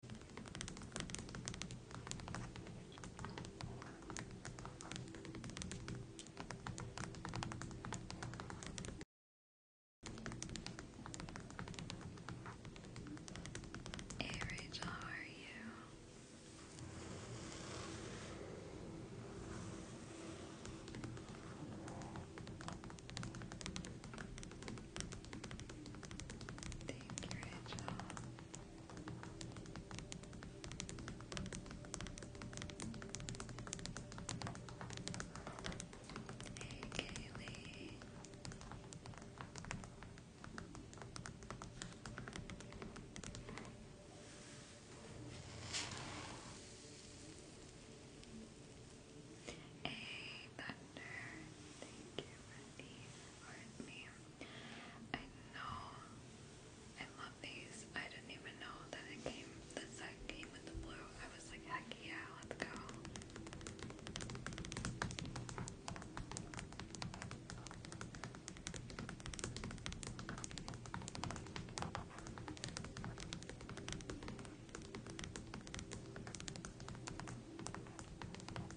Hey Rachel, how are you? Thank you, Rachel. Hey, Kaylee. Hey, Thunder. Thank you, Wendy for me. I know I love these. I didn't even know that it came the set came with the blue. I was like, heck yeah, let's go.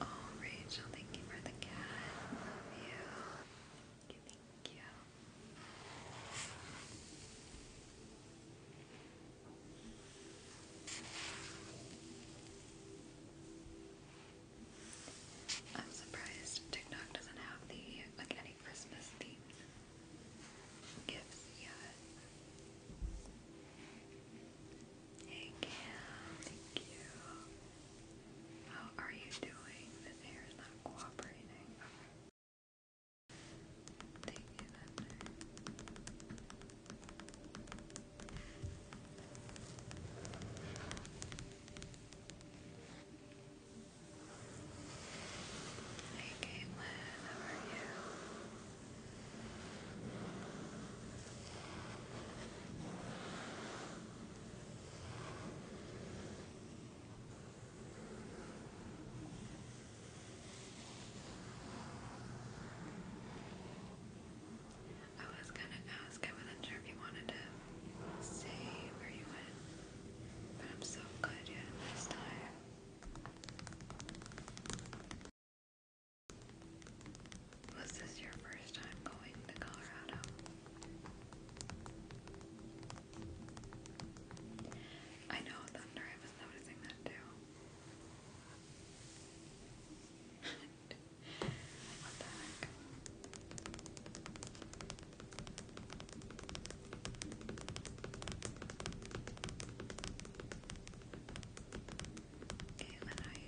Oh, Rachel, thank you for the cat. Love you. Thank you. I'm surprised TikTok doesn't have the like any Christmas themed gifts yet. Thank you. Thank you. How are you doing? The hair is not cooperating. Thank you, Lavender. Hey Caitlin, how are you? I was gonna ask, I wasn't sure if you wanted to say where you went, but I'm so glad you had a time. Was this your first time going to Colorado? I know, Thunder, I was noticing that too. what the heck? Caitlin, how you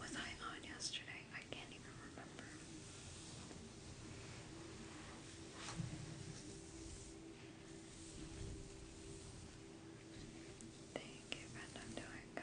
Was I on yesterday? I can't even remember. Thank you, friend. I'm doing good.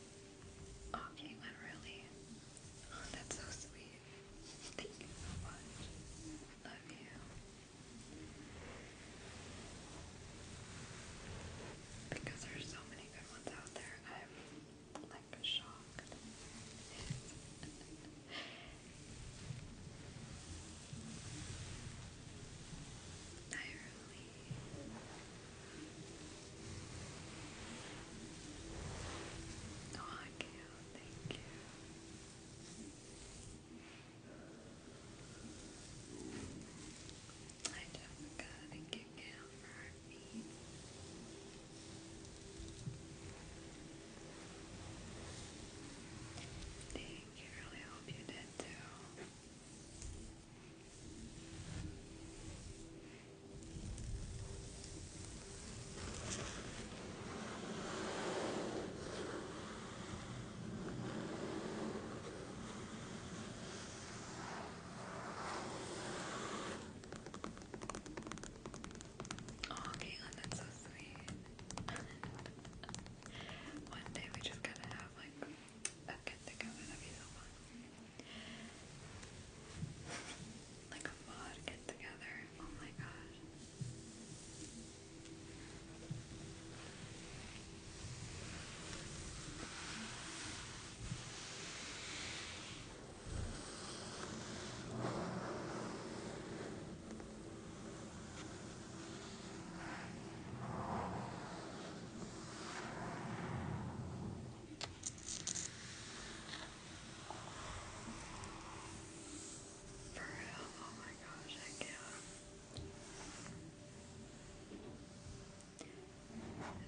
Oh, Caitlin, really? Oh, that's so sweet. Thank you so much. Love you. Because there's so many good ones out there, I'm like shocked. I really I can Thank you. I just gotta kick out for our Thank you. Really hope you did too. Oh, Caitlin, that's so sweet. One day we just gotta have like أكدك على نبي someone like a mod get together, oh my gosh for real, oh my gosh, I can't.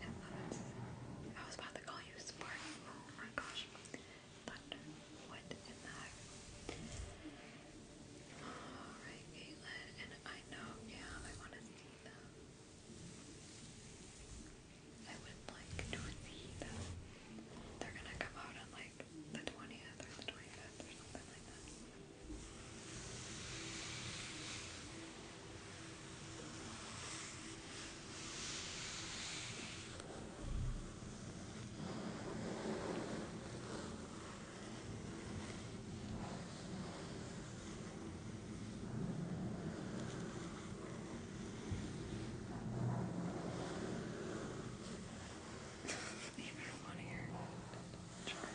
I, was, about to call you Spark. Oh my gosh. What in the heck? Alright, Caitlin. And I know, yeah, I want to see them. I would like to They're gonna come out on like the 20th or the 25th or something like that the marijuana here. True.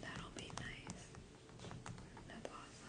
That'll be nice. That's awesome.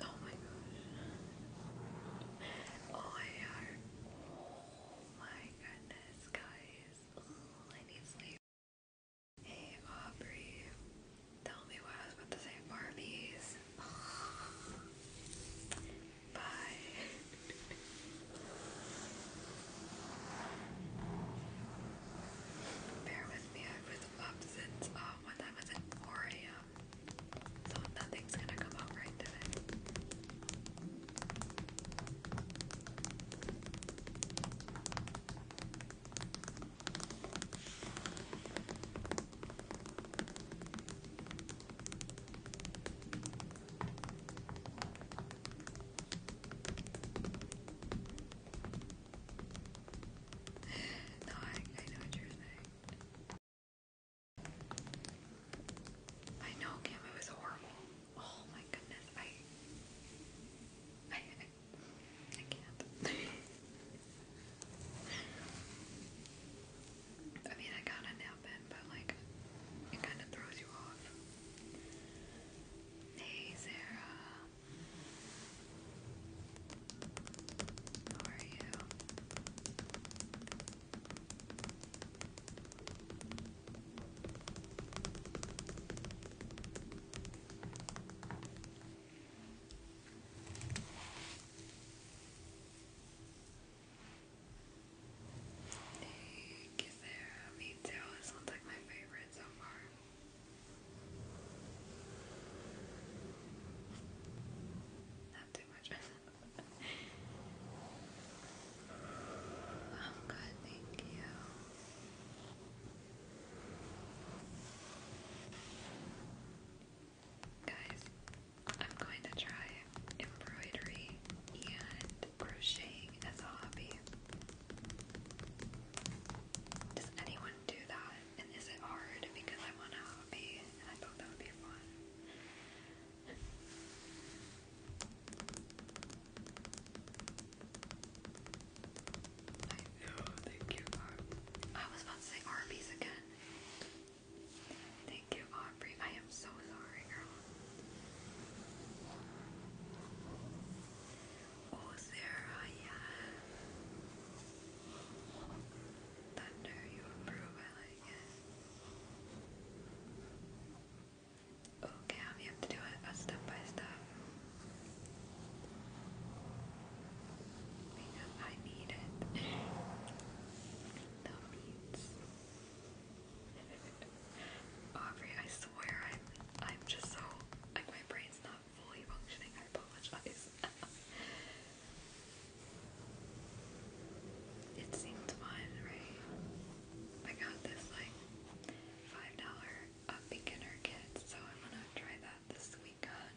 Oh my gosh. Oh my god. Oh my goodness, guys. I need sleep. Hey Aubrey. Tell me what I was about to say Barbies. Bye. Bear with me, I was up since uh, one was at 4 a.m. So nothing's gonna come out right today no, I, know what you're saying. I know, Kim, it was horrible. Oh my goodness, I. I, I, can't. I mean, I got a nap in, but like, it kind of throws you off. Hey, Sarah. How are you? Hey, Thank you, Me too. This one's like my favorite so far. Not too much. I'm um, good, thank you. Guys, I'm going to try embroidery and crocheting as a hobby? Does anyone do that? And is it hard because I want a hobby I thought that would be fun? I oh, know, thank you, Aubrey. I was about to say Arby's again. Thank you, Aubrey. I am so sorry, girl. Oh, Sarah, yeah. Thunder, you approve. I like it. Oh, have to do it uh, step by step. I need it. the beats. Aubrey, I swear I'm I'm just so like my brain's not fully functioning. I apologize. it seemed fun, right? I got this like five dollar uh, beginner kit, so I'm gonna try that this weekend.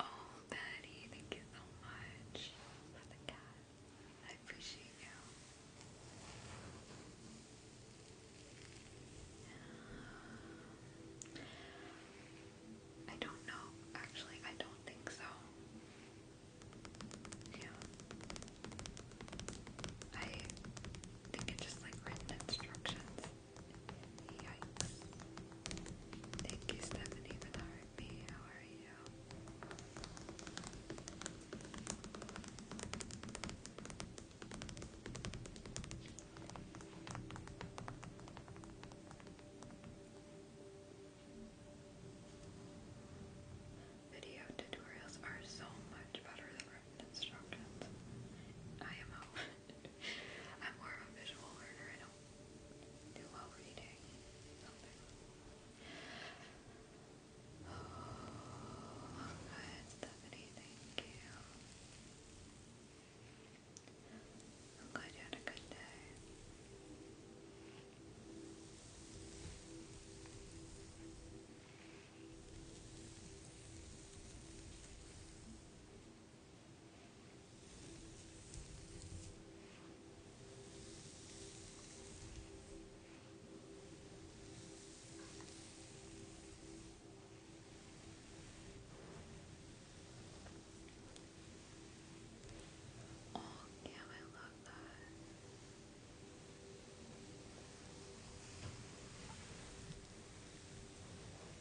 Oh, Betty, thank you so much for the cat. I appreciate you. I don't know. Actually, I don't think so. Yeah. I think it's just like written instructions. Yikes. Thank you, Stephanie, for the heartbeat. How are you? Video tutorials are so much better than written instructions. IMO. I'm more of a visual learner. I don't do well reading Oh, good, Stephanie, thank you. I'm glad you had a good day. Oh, yeah, I love that.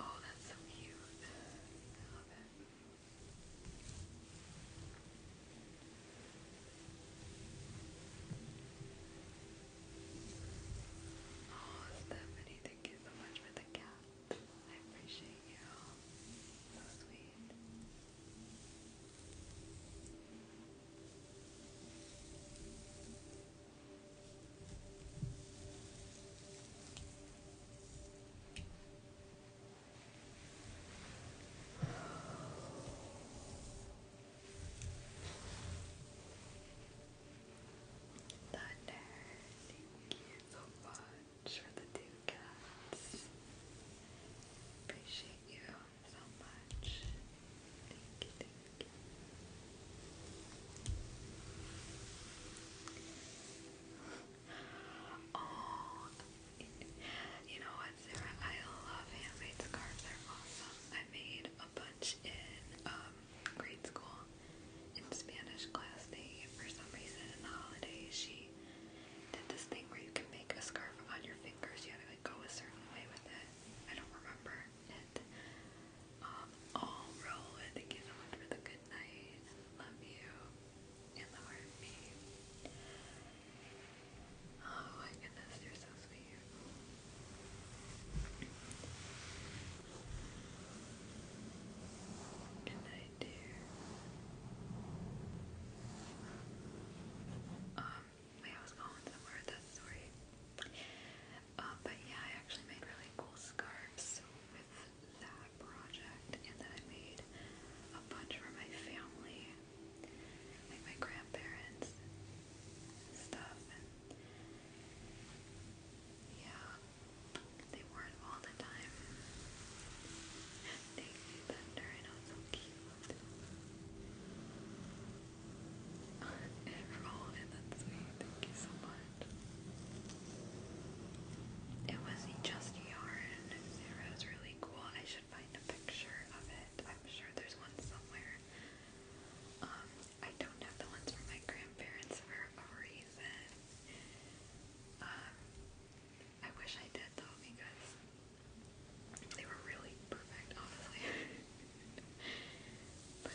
Oh, that's so cute. I love it. Oh, Stephanie, thank you so much for the cat. I appreciate you. So sweet. Thunder, thank you so much for the two cats. Appreciate you so much. Thank you, Oh, you know what, Sarah? I love handmade scarves. They're awesome. I made a bunch in um, grade school in Spanish class. They, for some reason, in the holidays, she did this thing where you can make a scarf on your fingers. You had to like go a certain way with it. I don't remember. Um, I'll roll it. Thank for the good night. Love you and the heartbeat. Oh my goodness, you're so sweet. Good night, dear. Um, wait, I going somewhere with that uh, but yeah, I actually made really cool scarves with that project, and then I made a bunch for my family, like my grandparents stuff, and yeah, they wore it all the time. Thank you, Bender, I know it's so cute enroll in that sweet. Thank you so much. It was just yarn. It was really cool. I should find a picture of it. I'm sure there's one somewhere. I don't have the ones from my grandparents for a reason. I wish I did though because they were really perfect, honestly. but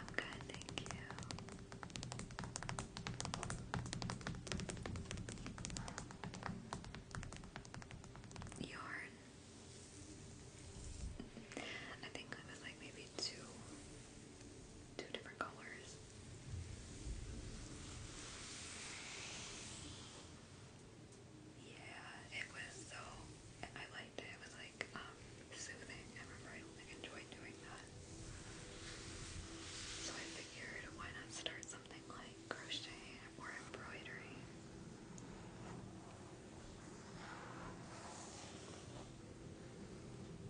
i thank you. Yarn. I think it was like maybe two two different colors. Yeah, it was so I liked it. It was like um, soothing. I remember I like enjoyed doing that. So I figured why not start something like crocheting or embroidery.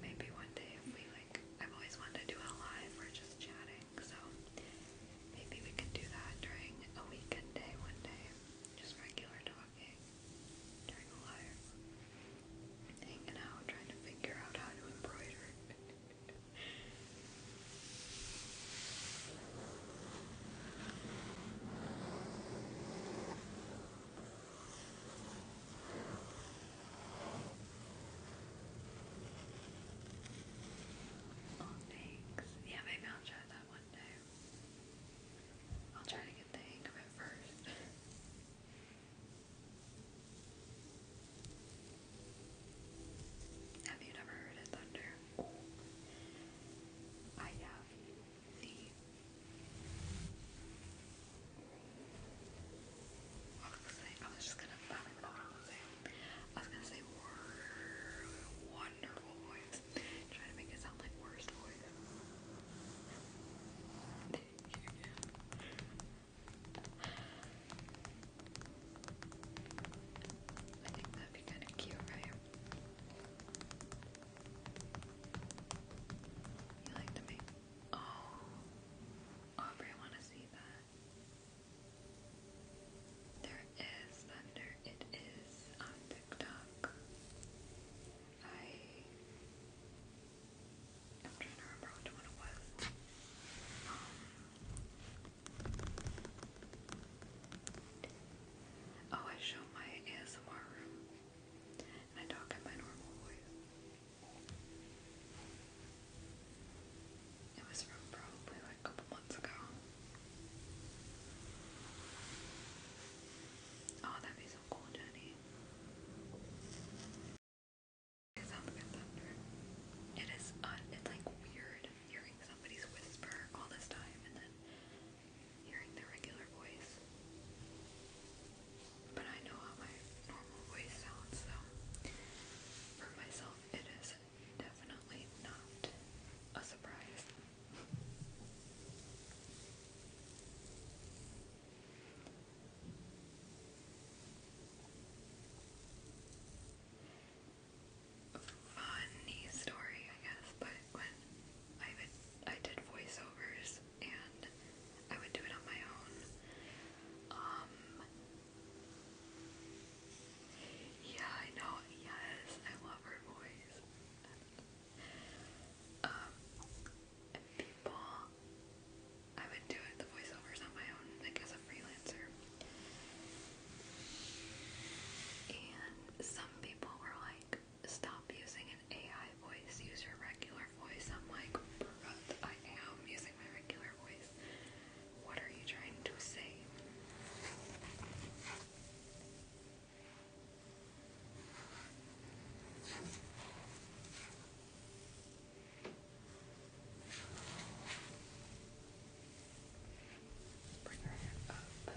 Maybe one day we like, I've always wanted to do a live where just chatting, so maybe we could do that during a weekend day one day. Just regular talking during a live. Hanging out, trying to figure out how to embroider. Thanks. Yeah, maybe I'll try that one day. I'll try to get the hang of it first. Have you never heard of thunder? I have the what I was just gonna I was gonna say wonderful voice. Try to make it sound like worst voice. I think that'd be kind of cute, right? You like to make oh Aubrey I to see that. There is thunder. It is on TikTok. I I'm trying to remember which one it was. Um, Oh, I show my ASMR room. I talk in my normal voice. It was from probably a couple months ago. Oh, that'd be so cool, Jenny. It is, uh, it's like weird hearing somebody's whisper all this time and then hearing the regular voice. But I know how my normal voice sounds, so for myself it is definitely not a surprise. Funny story, I guess, but when I would I did voiceovers and I would do it on my own. Um, yeah, I know, yes, I love her voice. Um people I would do it the voiceovers on my own, like as a freelancer. And some people were like, stop using an AI voice, use your regular voice. I'm like, I am using my regular voice. What are you trying to say? Bring her up.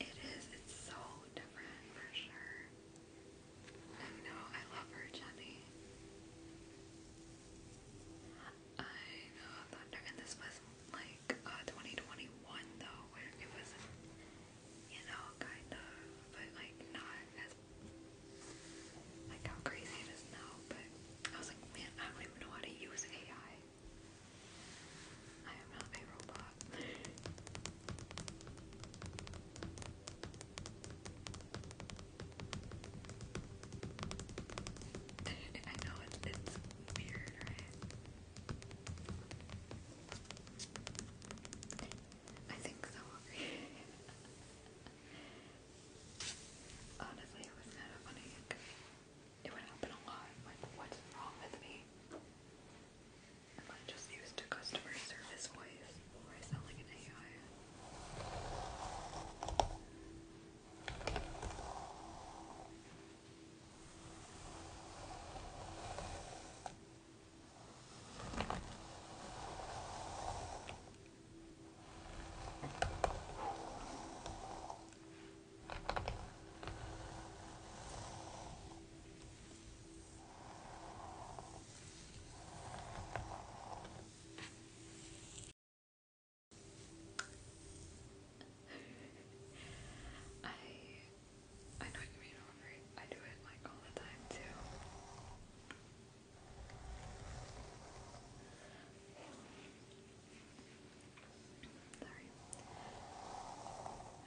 It is, it's so different for sure. I know, I love her, Jenny. I know, Thunder, and this was like uh, 2021 though, where it was, you know, kind of, but like not as like how crazy it is now, but I was like, man, I don't even know how to use AI. I am not a robot. I know it's, it's weird, right? I think so. Honestly, it was kind of funny. It would happen a lot. Like, what's wrong with me? I just used a customer service voice? Or I an AI? I I know you mean over. I do it like all the time too. Sorry.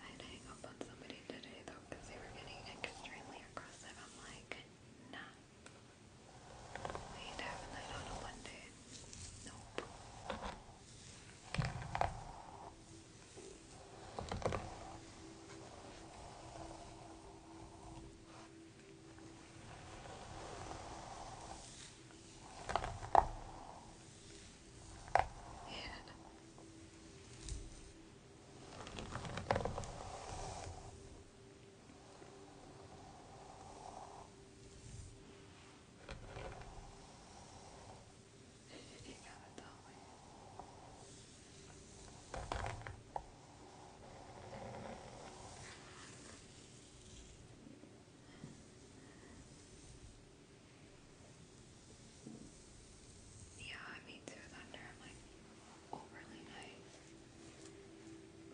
I had hang up on somebody today though they were getting extremely aggressive. I'm like, nah. We ain't having that on a Monday. Yeah. you got it, yeah, I mean I'm like overly nice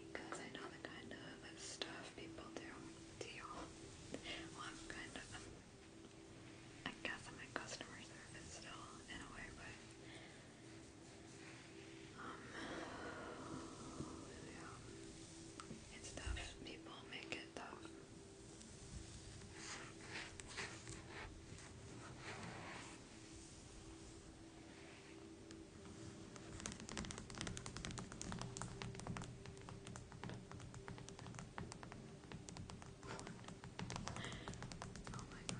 because I know the kind of stuff people do to y'all. Well I'm kind of i guess i customer service still in a way, but um, yeah. It's tough. People make it tough. Oh my gosh.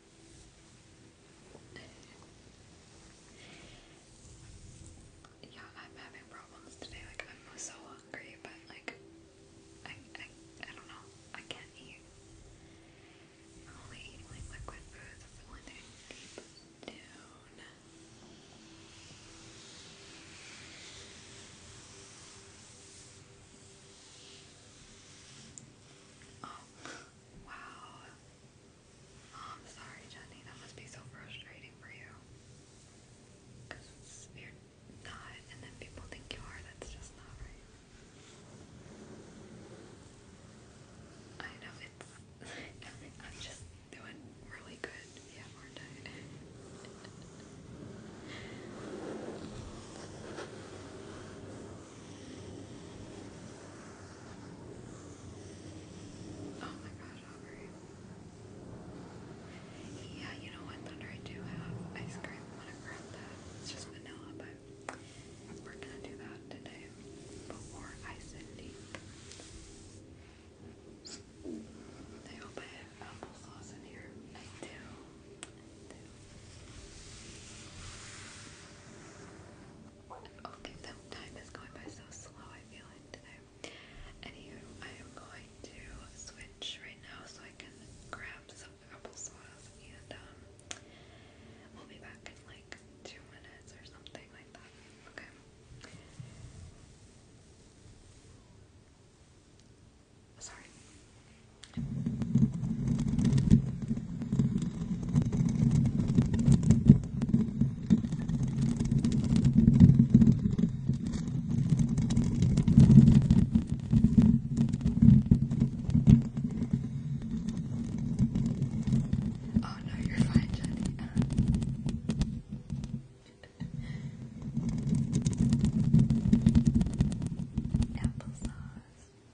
Yeah, I'm having problems today. Like I'm so hungry, but like I I I don't know. I can't eat. I'm only eating liquid foods. the only thing oh, wow. I'm sorry, Jenny. That must be so frustrating for you. Because you're not, and then people think you are. That's just not right. I know it's. I'm just doing really good. Yeah, aren't Oh my gosh, Yeah, you know what, Thunder? I do have ice cream. I'm to grab that. It's just vanilla, but we're gonna do that today before I send it. I hope I have applesauce in here. I do. Okay, so time is going by so slow, I feel like today. Anywho, I am going to switch right now so I can grab some applesauce and um, we'll be back in like two minutes or something like that. Okay. Sorry. Oh no, you're fine, Jenny. Applesauce.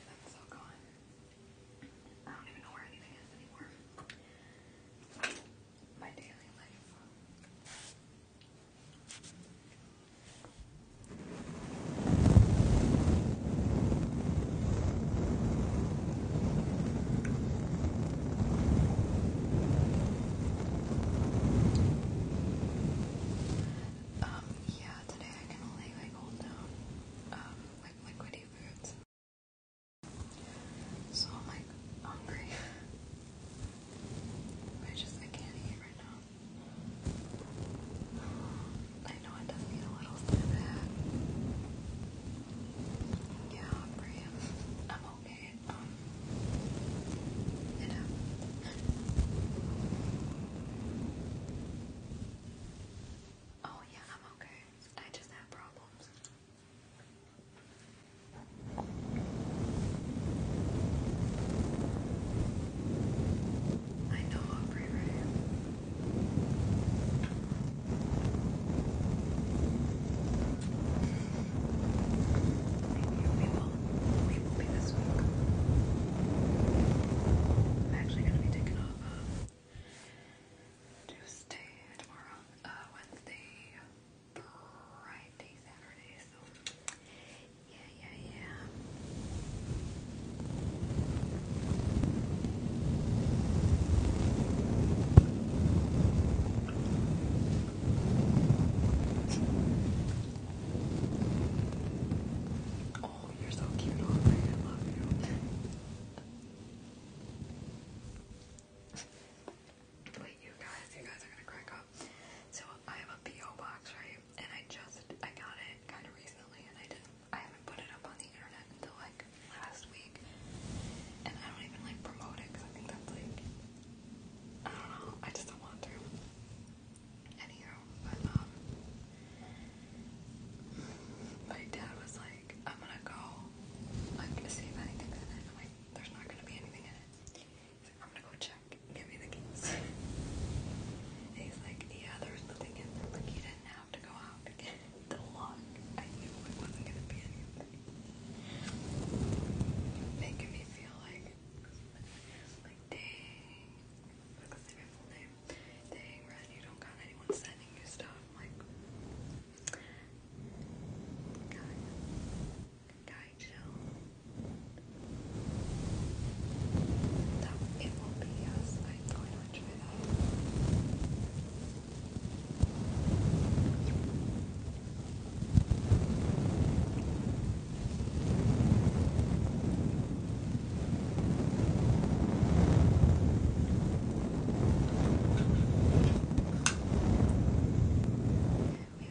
Everything's all I don't even know where anything is anymore. My daily life. Um, yeah, today I can only all down, um, like liquidy foods. So I'm like hungry. I just I can't eat right now. I know it does get a little sad. Yeah, I'm pretty. I'm okay. Um, you know. Oh, yeah, I'm okay. I just have problems. I know Aubrey Ray. Maybe we will hopefully this week. I'm actually going to be taking off um, Tuesday, tomorrow, uh, Wednesday, Friday, Saturday, so yeah, yeah, yeah. Oh, I love Wait, you guys, you guys are gonna crack up. So I have a PO box, right? And I just I got it kind of recently, and I did I haven't put it up on the internet until like last week. And I don't even like promote it because I think that's like I don't know. I just don't want to. Anyhow, but um, my dad was like, I'm gonna go, like, see if anything's in it. I'm like, there's not gonna be anything in it. He's like, I'm gonna go check. Give me the keys. he's like, yeah, there's nothing in there. Like, you didn't have to go out to get the lock. I knew it wasn't gonna be anything. Making me feel like, like, dang. What's the full name? Dang, Ren, you don't got anyone sending you stuff. i guy, chill. it will be us. I'm going to enjoy that. We have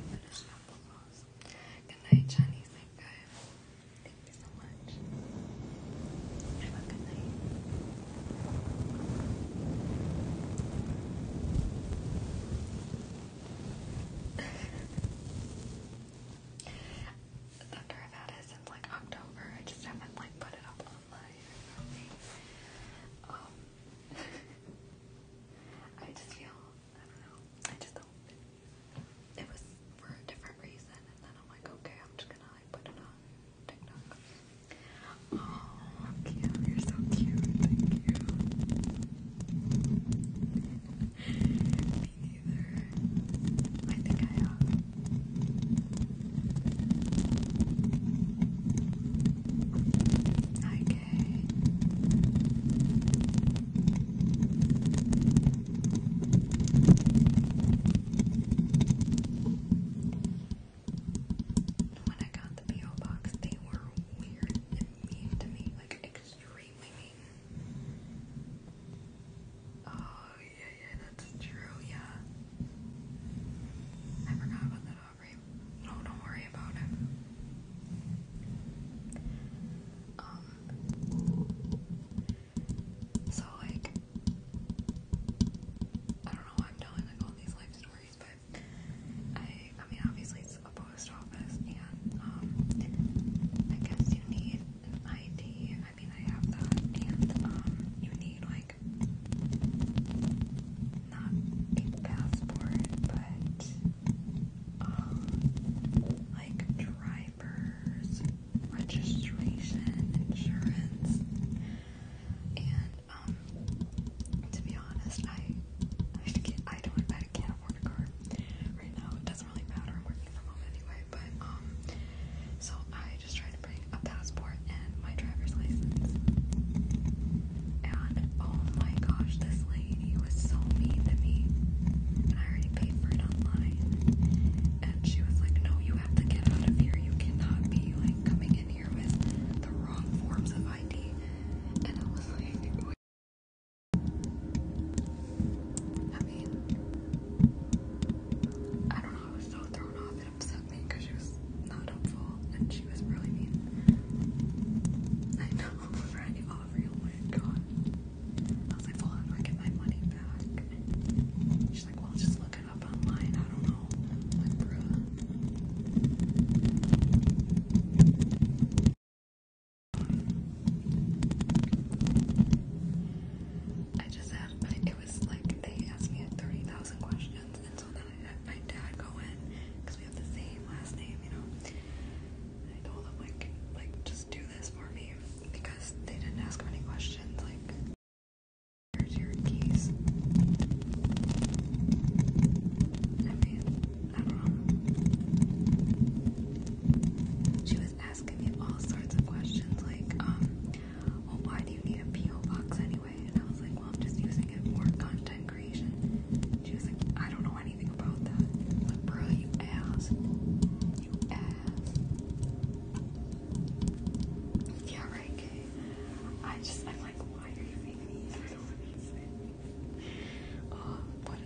finished apple rolls. Good night, Chinese night guy. Thank you so much. Have a good night after I've had it since like October. I just haven't like put it up online Um, I just feel I don't know. I just do It was for a different reason, and then I'm like, okay, I'm just gonna like put it on TikTok. Oh, you're so cute. Thank you. Me neither. I think I am. Hi, When I got the P.O. box, they were weird and mean to me, like Oh, yeah, yeah, that's true, yeah. I forgot about that, Aubrey. No, don't worry about it. Um, so, like, I don't know I'm telling, like, all these life stories, but I, I mean, obviously it's a post office, and, um, I guess you need an ID I think I have that. And um, you need like not a passport, but um, like driver's registration, insurance, and um, to be honest, I I, don't I can't afford a car right now really matter. I'm working from home anyway, but um, so I just tried to bring a passport and my driver's license. And oh my gosh, this lady was so mean to me. And I already paid for it online. And she was like, No, you have to get out of here. You cannot be like coming in here with the wrong forms of ID. And I was like, I don't know, I was so thrown off and upset me because she was not helpful and she was really mean. I know, right? Aubrey, oh god. I was like, well, how do I get my money back? She's like, well, just look it up online. I don't know. I'm like, I just had it was like they asked me 30,000 questions, and so then I had my dad go in because we have the same last name, you know. I told him like, like just do this for me because they didn't ask many questions. Like, here's your keys. I mean, I don't know. She was asking me all sorts of questions like, um, well, why do you need a P.O. box anyway? And I was like, well, I'm just using it for content creation. She was like, I don't know anything about that. I was like, bro, you ass. You ass. Yeah, right, Kay. I just, I'm like, why are you making me? I don't understand. Uh, but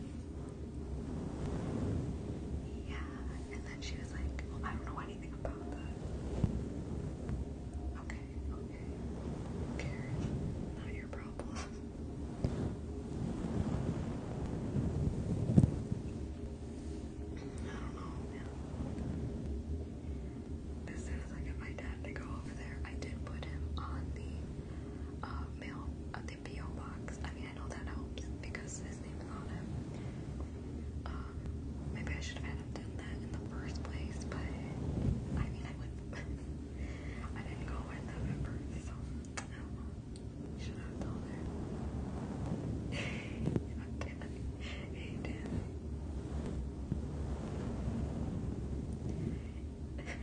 yeah, and then she was like, I don't know anything about that. Okay, okay. Karen, not your problem. I don't know, As soon as I get my dad to go over there, I did put him on the uh, mail, uh, the PO box. I mean, I know that helps because his name's on it. Um, maybe I should have had him done that in the first place, but I mean, I wouldn't. I didn't go with them at first, so Should have told her? okay. Hey, Dan.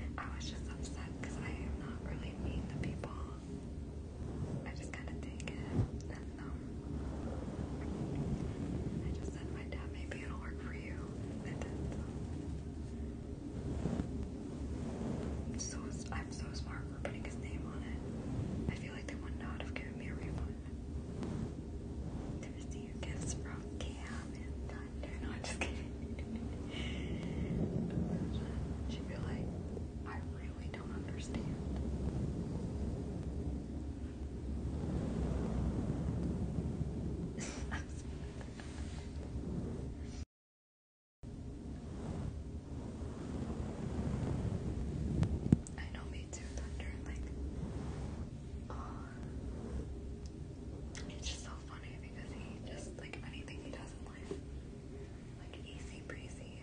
I was just upset because I am not really mean to people. I just kind of take it, and um, I just said my dad, maybe it'll work for you. So I'm so smart for putting his name on it. I feel like they would not have given me a refund. To receive gifts from Cam I'm just kidding. she feel like I really don't understand. I know me too, uh, it's just so funny because he just like anything he does in life, like easy breezy,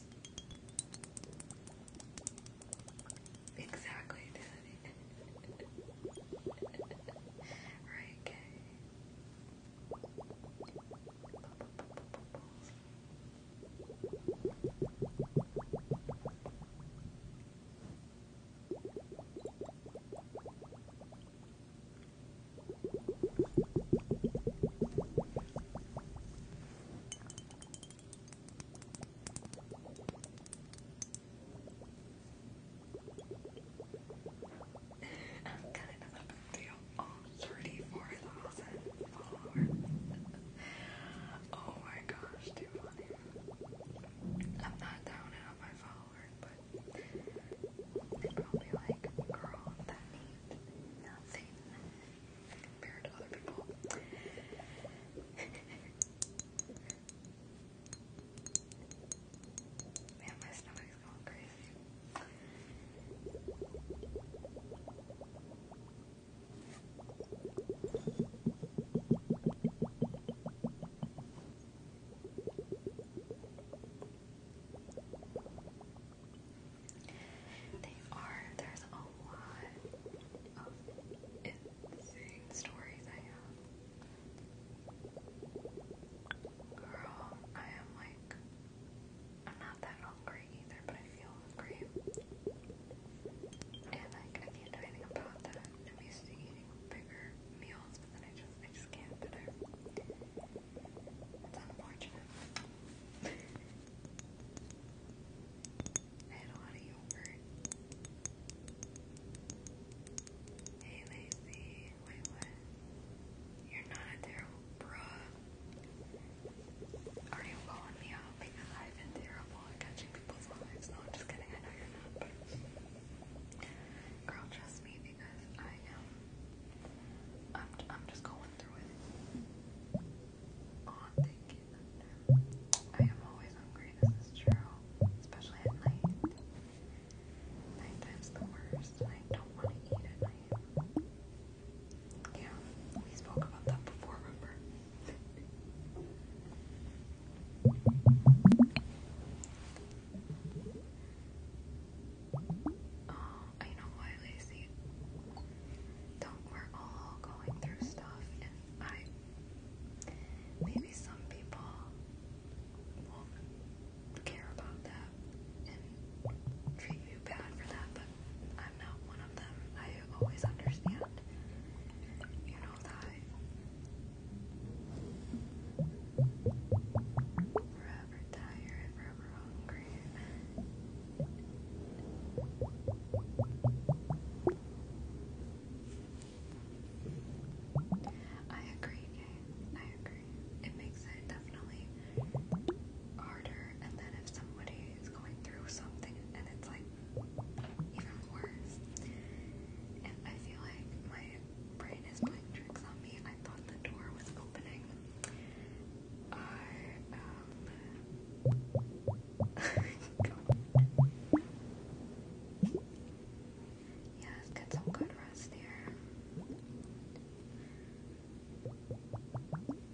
Exactly, Daddy. okay. I'm kind of a big deal. 34,000 followers. oh my gosh, too I'm not down my followers, but they probably like, girl, that means nothing compared to other people. Man, my stomach's going crazy. They are, there's a lot of insane stories I have. Girl, I am like, I'm not that hungry either, but I feel hungry. And like, I can about that. I'm used to eating bigger meals, but then I just, I just can't that's unfortunate. I had a lot of yogurt. Hey Lacey, wait what? You're not a terrible bruh. Are you blowing me up? Because I've been terrible at catching people's lives. No, I'm just kidding, I know you're not, girl, trust me because I am I'm I'm just going through it. Oh, I'm always hungry, this is true. Especially at night. Nighttime's the worst, I don't want to eat at night. Yeah, we spoke about that before, remember? Um, I know why, Lacey. Don't we're all going through stuff, and I maybe some people won't care about that and treat you bad for that, but I'm not one of them. I always understand. You know that. Forever tired, forever hungry. I agree, Kay. I agree. It makes it definitely harder, and then if somebody is going through something and it's like even worse, and I feel like my brain is playing tricks on me. I thought the door was opening, R L. Yes, get some good rest here.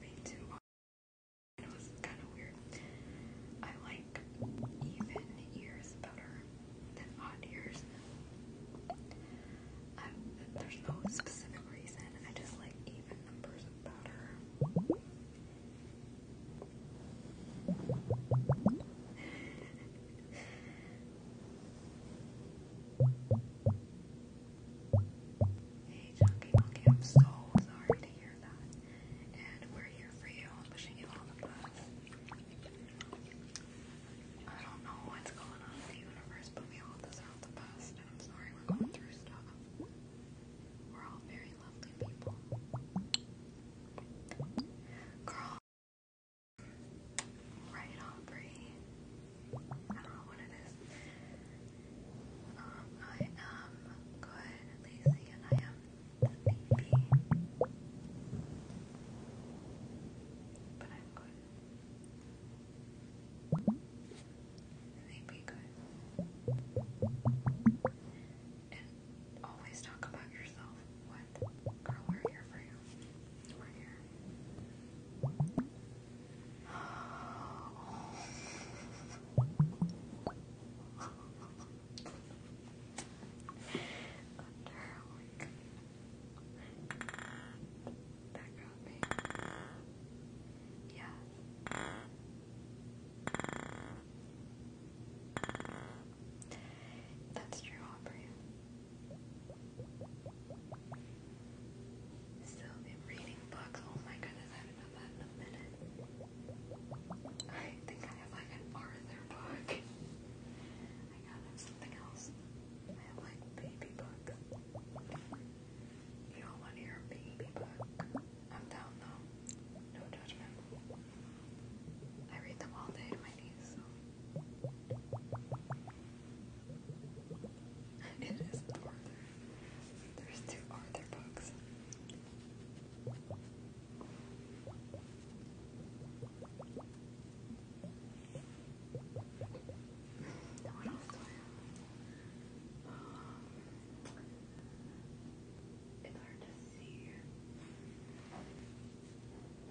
Me too. It was kind of weird. I like even ears better than odd ears. there's no specific reason. I just like even numbers powder. hey, Chunky Monkey, I'm so sorry to hear that. And we're here for you. I'm wishing you all the best. I don't know what's going on in the universe, but we all deserve the I'm sorry we're going through stuff. We're all very lovely people. Girl. Right, Aubrey. I don't know what it is. Um, I am good, lazy, and I am sleepy. But I'm good. They'd be good. And always talk about yourself. What? Girl, we're here for you. We're here. Under, oh my God background thing. Yeah. That's true, Aubrey. Still been reading books. Oh my goodness, I haven't done that in a minute. I think I have like an Arthur book. I got something else. I have like baby books. You don't want to hear a baby, but I'm down though. No judgment. I read them all day to my niece, it is Arthur. There's two Arthur books. what else do It's hard to see.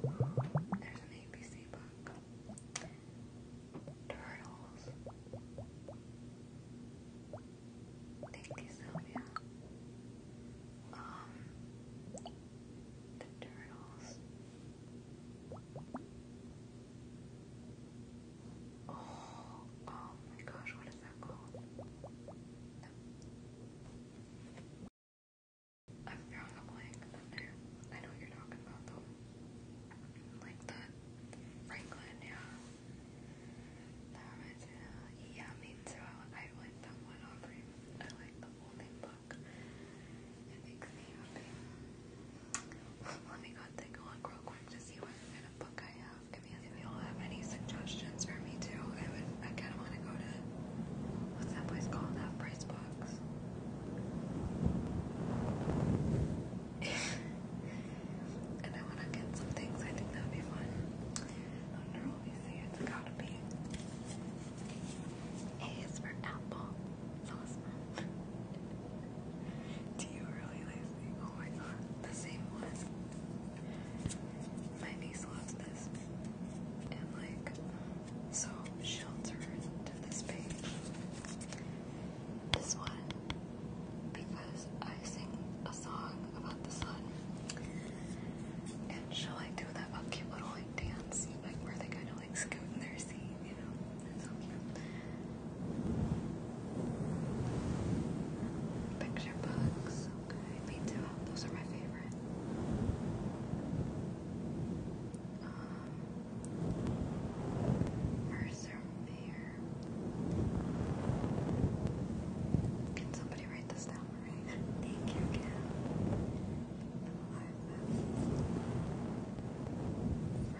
There's an ABC book. Turtles. Thank you, Sylvia. Um, the turtles. Oh, oh my gosh, what is that called? I'm drawing a blank. I know you're talking about though. Like the Franklin, yeah. That reminds me of, I like that one, Aubrey. I like the whole name book. It makes me happy. Let me go take a look real quick to see what kind of book I have. I if y'all have any suggestions for me too, I would. I kind of want to go to what's that place called? Half Price Books. and I want to get some things. I think that'd be fun. Under all these, it's gotta be. A is for apple. Awesome. Do you really Leslie? Oh my god, the same one. My niece loves this. And like so she'll turn to this page. This one. Because I sing a song about the sun. And she'll like do that up little like dance, like where they kinda like scoot their seat, you know. Picture books. Okay, me Those are my favorite. Um, Mercer Mayor. Can somebody write this down for me? Thank you, Kim.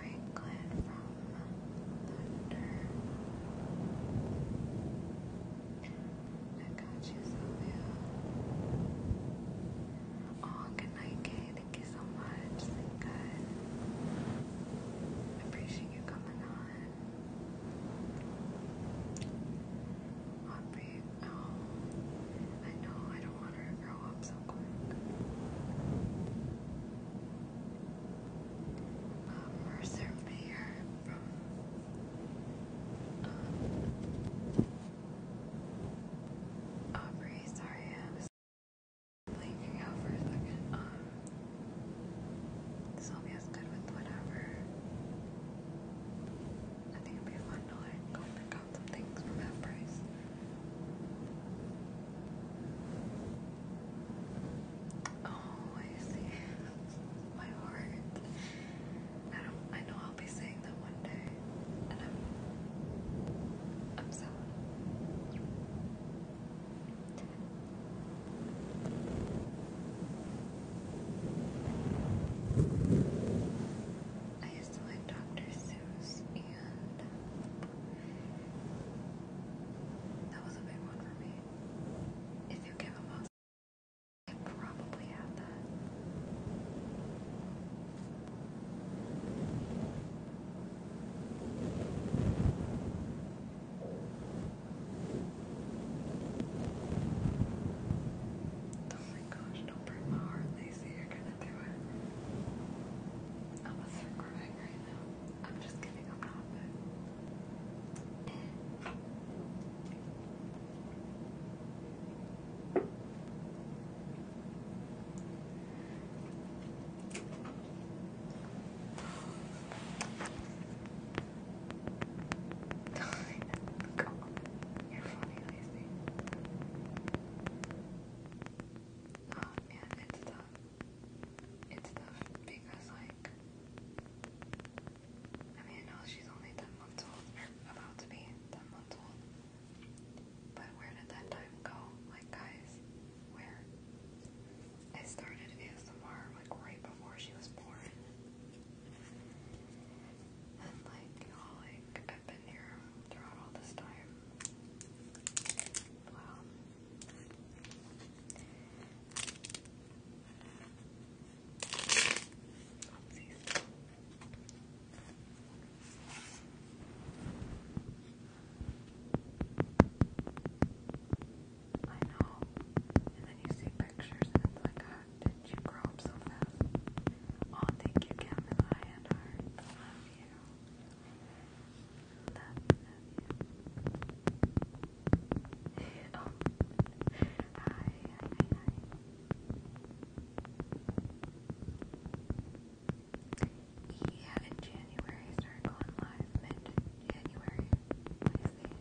Franklin from thunder. I got you, Sylvia. Oh, good Kay. Thank you so much. Thank God. I appreciate you coming on. Aubrey, oh, I know I don't want her to grow up so quick um, Mercer Mayer Aubrey. Sorry, I was blinking out for a second. this will be good with whatever. I think it'd be fun to go pick out some things from that Oh, I My heart. I don't. I know I'll be saying that one day, and I'm. I'm sad. I used to like Dr. Seuss and that was a big one for me. If you give a monster, I probably had that. Oh my gosh, don't break my heart, Lacey. You're gonna do it. I'm a sick crying right now. I'm just kidding, I'm not, You're funny, Lacey. Oh man, it's tough it's tough because like I mean I know she's only ten months old about to be ten months old. But where did that time go? Like guys, where? I started ASMR like right before she was born. And like, like I've been here throughout all this time. Wow. I know. And then you see pictures and it's like, how did you grow up so fast? Oh, thank you, Cam and I love you love, love you. oh. Hi, hi, hi. Yeah, in January I started going live mid-January. Let me see.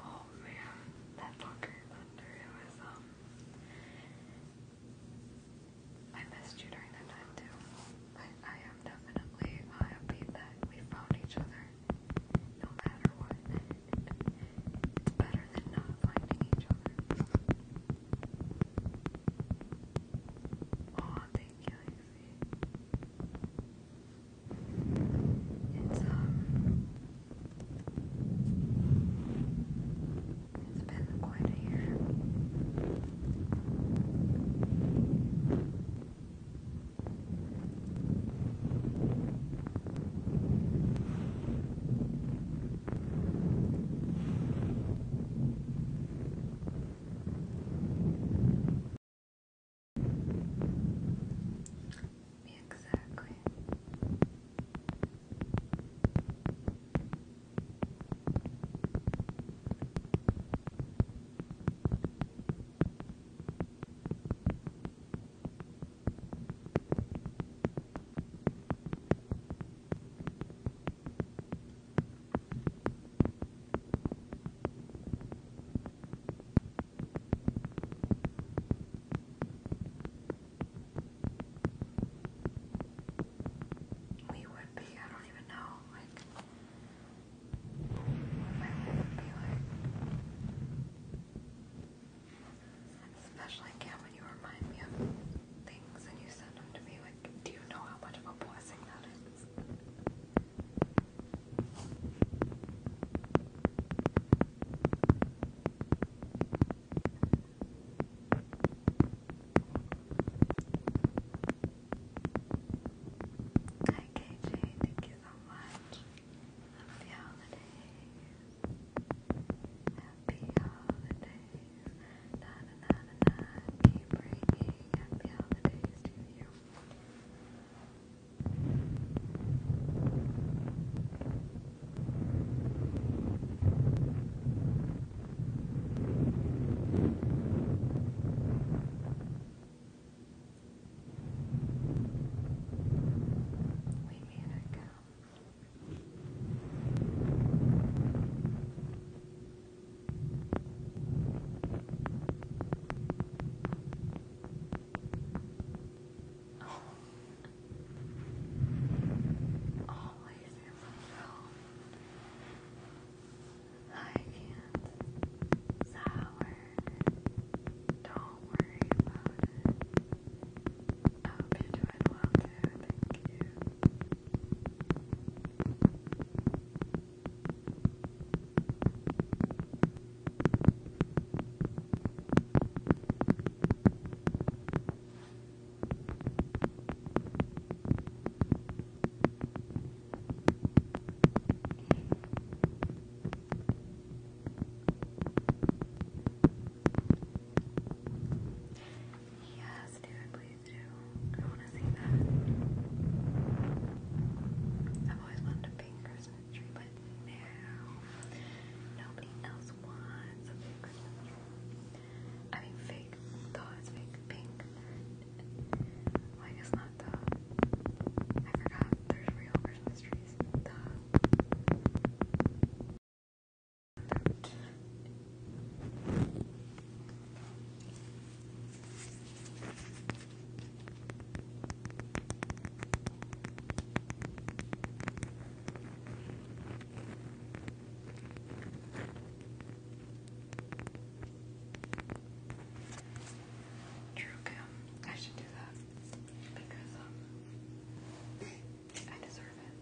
Oh man, that fucker it was um, I missed you during that time too. But I am definitely happy that we found each other. No matter what. better than not finding each other. Oh, thank you, Lexi. It's um it's been quite a year. Exactly. Good. We would be, I don't even know, like, what my life would be like. Especially, again, when you remind me of things and you send them to me, like, do you know how much of a blessing that is? Hi thank you so much. Happy holidays. Happy holidays. Na na na na na. Keep bringing happy holidays to you. We made it go. Oh, Always my phone. I can't Don't worry about it. I hope you doing well too. Thank you. Yes, do please do. I want to see that. I've always wanted a pink Christmas country, but now nobody else wants a fake Christmas tree. I mean, fake thoughts, fake pink. Well, I not the. I forgot there's real Christmas trees. True Kim. I should do that because um, I deserve it.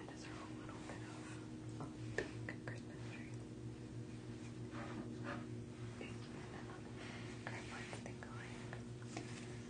I deserve a little bit of a um, big Christmas tree. And um, I think like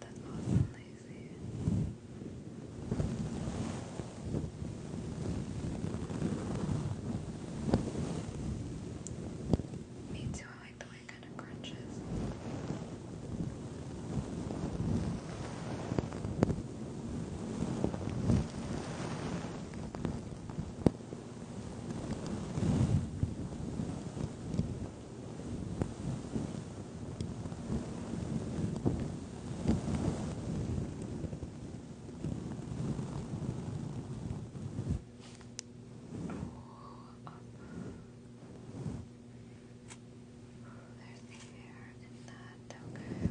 That's awesome, Me too, I like the way kind of crunches. There's the air in that, okay. Okay.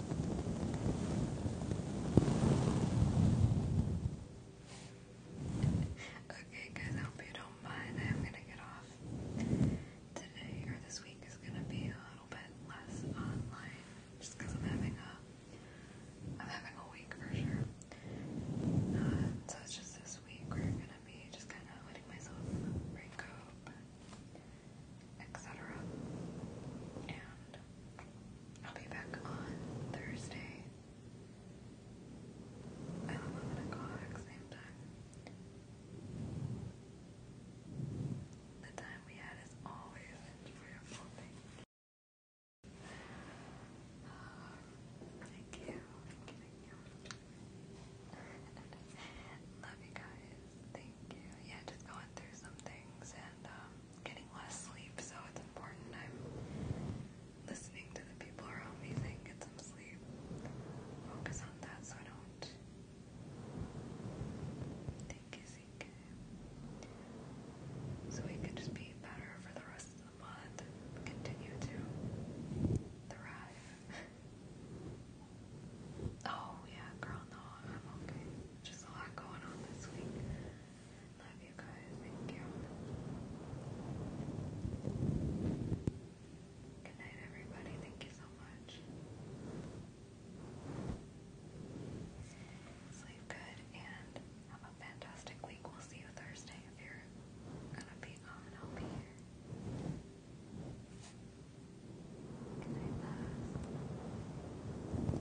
Okay, guys, hope you don't mind. I am gonna get off today or this week is gonna be a little bit less online just I'm having a I'm having a week for sure. Um, so it's just this week we're gonna be just kind of letting myself recoup, etc. I'll be back on Thursday. At 11 o'clock, same time. The time we had is always enjoyable. Thank you. thank you. Thank you. Love you guys. Thank you. Yeah, just going through some things and um, getting less sleep, so it's important I'm listening to the people around me Think, get some sleep. Focus on that so I don't think is So we could just be better for the rest of the month continue to thrive. oh yeah, girl, no, I'm okay. Just a lot going on this week love you guys. Thank you. Good night, everybody. Thank you so much. Sleep good and have a fantastic week. We'll see you Thursday if you're gonna be on. I'll be here. Good night, love